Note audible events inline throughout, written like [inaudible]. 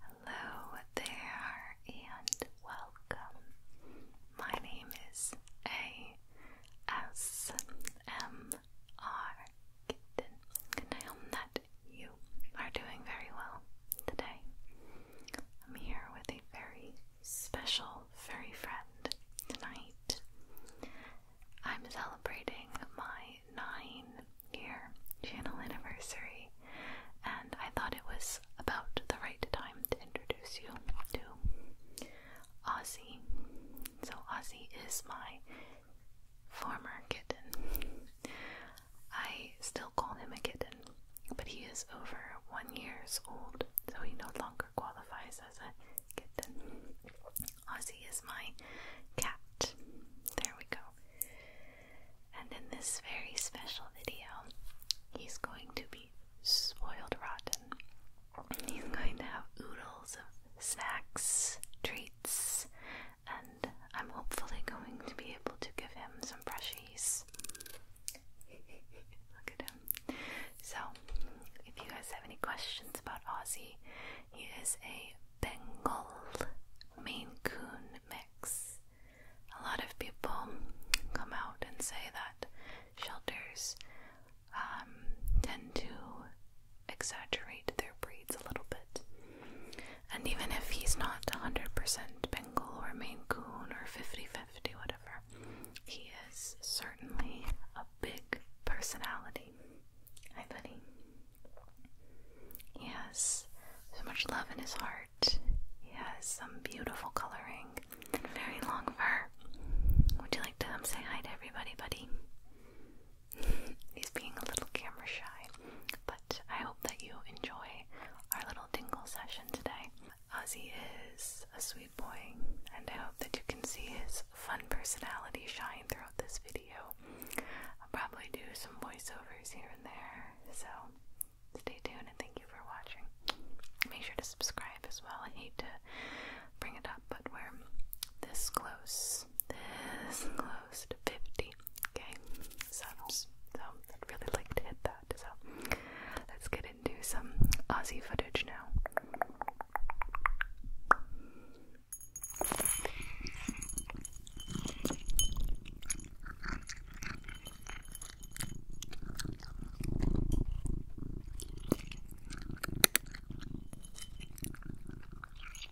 Hello there and welcome. My name is ASMR and I hope that you are doing very well today. I'm here with a very special furry friend tonight. I'm celebrating my nine year channel anniversary, and I thought it was about the right time to introduce you to Ozzy. So, Ozzy is my former kitten. I still call him a kitten, but he is over one years old, so he no longer qualifies as a kitten. Ozzy is my cat. There we go. And in this very special video, he's going to be spoiled rotten. He's going to have oodles of snacks, treats, and I'm hopefully going to be able to give him some brushies. [laughs] Look at him. So, if you guys have any questions about Aussie, he is a Bengal Maine Coon mix. A lot of people come out and say that shelters um, tend to exaggerate their breeds a little bit. And even if he's not 100% Bengal or Maine Coon or 50 50, whatever, he is certainly a big personality. Hi, buddy. He has so much love in his heart. He has some beautiful coloring and very long fur. Would you like to say hi to everybody, buddy? [laughs] He's being a little camera shy, I hope that you enjoy our little tingle session today. Ozzy is a sweet boy, and I hope that you can see his fun personality shine throughout this video. I'll probably do some voiceovers here and there, so stay tuned and thank you for watching. Make sure to subscribe as well. I hate to bring it up, but we're this close close. This close to 50. Okay, so, so I'd really like to hit that. So let's get into some Aussie footage now.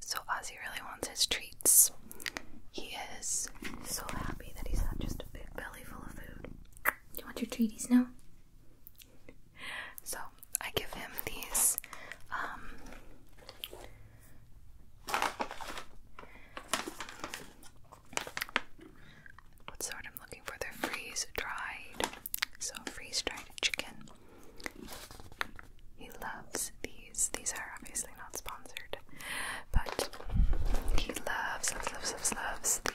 So Ozzy really wants his treats. He is so happy that he's had just a big belly full of food. Do You want your treaties now? So I give him these um what's I'm looking for? They're freeze dried. So freeze dried chicken. He loves these. These are obviously not sponsored, but he loves, loves, loves, loves, loves these.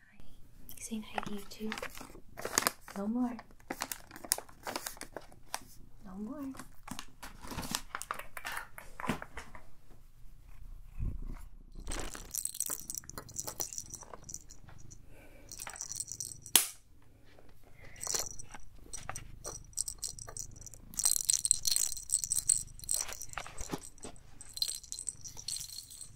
hi. He's saying you too. No more. No more.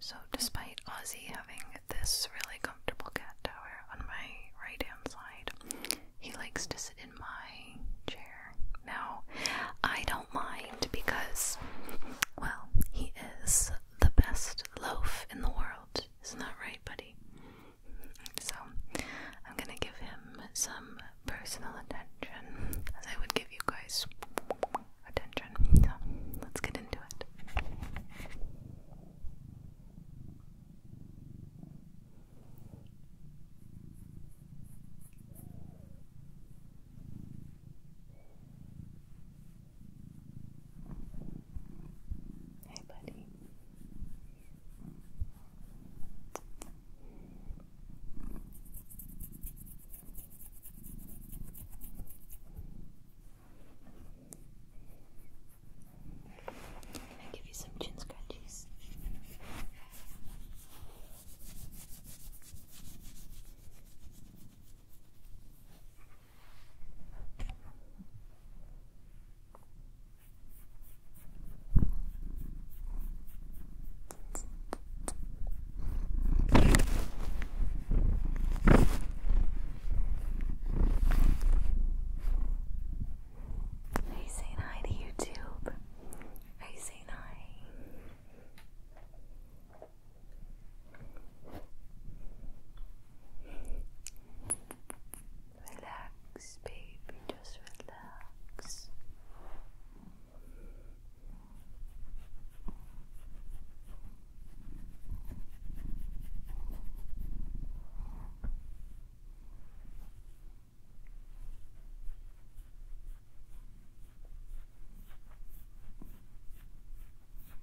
So, despite Ozzy having this really comfortable cat tower on my right hand side, he likes to sit in my chair. Now, I don't mind because, well, he is the best loaf in the world. Isn't that right, buddy? So I'm gonna give him some personal attention as I would give you guys attention. So let's get into it. Hey, buddy. I'll give you some chin scratches. I you saying hi to YouTube? Are you hi? Relax, baby, just relax.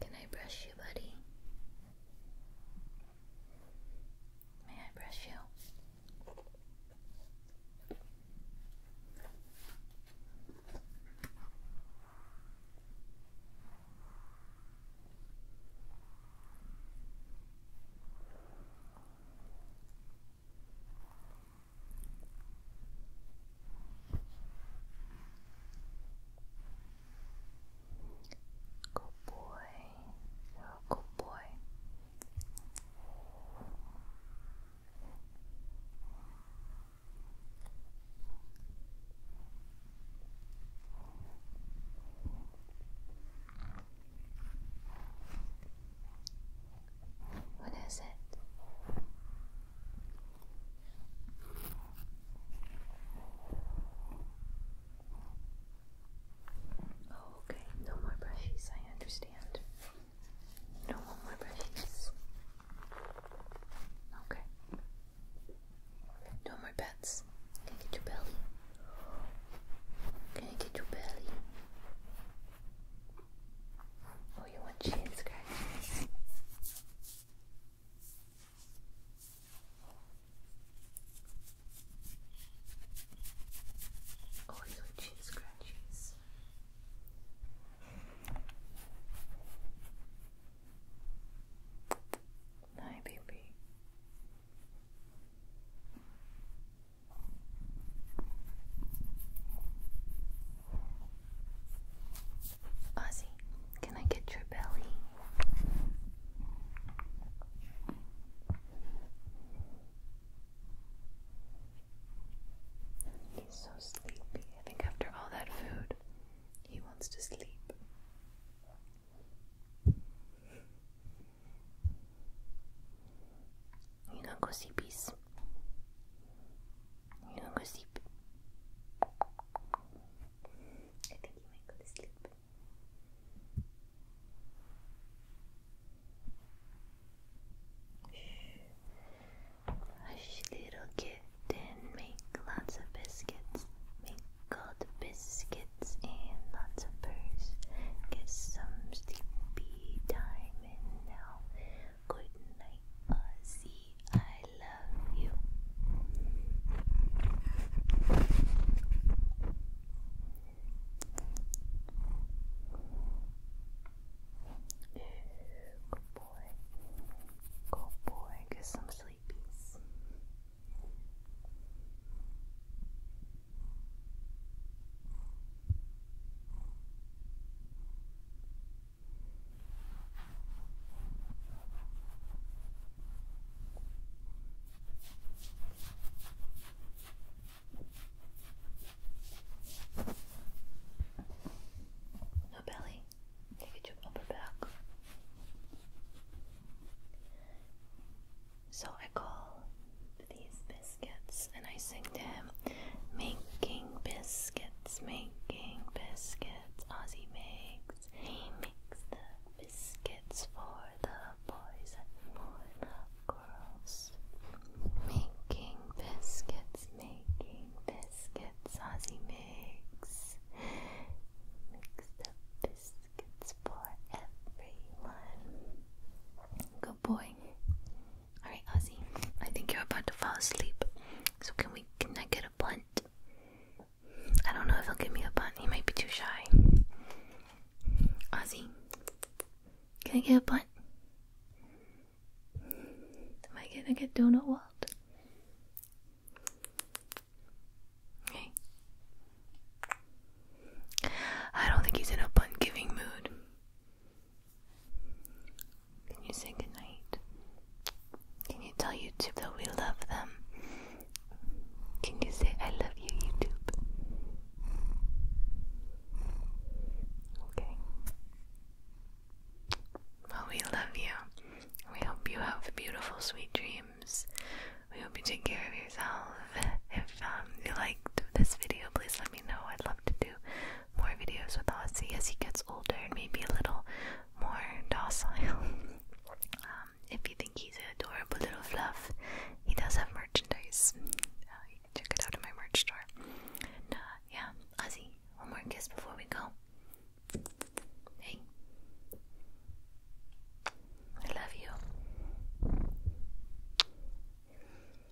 Can I brush you, buddy? May I brush you? Good boy. You're a good boy. What is it? Oh, okay, no more brushes, I understand. No more brushes. Okay. No more pets. Can I get your belly? Can I get your belly? Oh, you want chin scratches? Oh, you want chin scratches? Hi, baby. Ozzy, can I get your belly? He's so sleepy. I think after all that food, he wants to sleep. You know, go see you gonna go sleep? I think you might go to sleep. Hush, little kid, make lots of biscuits. Make gold biscuits and lots of pearls. Get sleepy time now Good night, Ozzy. I love you. Good boy. Go boy, get some sleepies. Now, Belly, take your upper back. So I call these business biscuits. And I sing to him, making biscuits, making biscuits. Ozzy makes, he makes the biscuits for the boys and for the girls. Making biscuits, making biscuits. Ozzy makes, makes the biscuits for everyone. Good boy. Alright, Ozzy, I think you're about to fall asleep. So can we can I get a blunt? I don't know if he'll give me a blunt. He might be too shy. Ozzy, can I get a blunt? Am I gonna get donut what? Okay. I don't think he's in a blunt giving mood. Can you say goodnight? Can you tell YouTube that we love them? Can you say I love you, YouTube? Okay. Well, we love you. We hope you have beautiful, sweet dreams. We hope you take care of yourself. If um, you liked this video, please let let me know. I'd love to do more videos with Ozzy as he gets older and maybe a little more docile. [laughs] Um, if you think he's an adorable little fluff, he does have merchandise. Uh, you can check it out in my merch store. Uh, yeah, Ozzy, one more kiss before we go. Hey, I love you.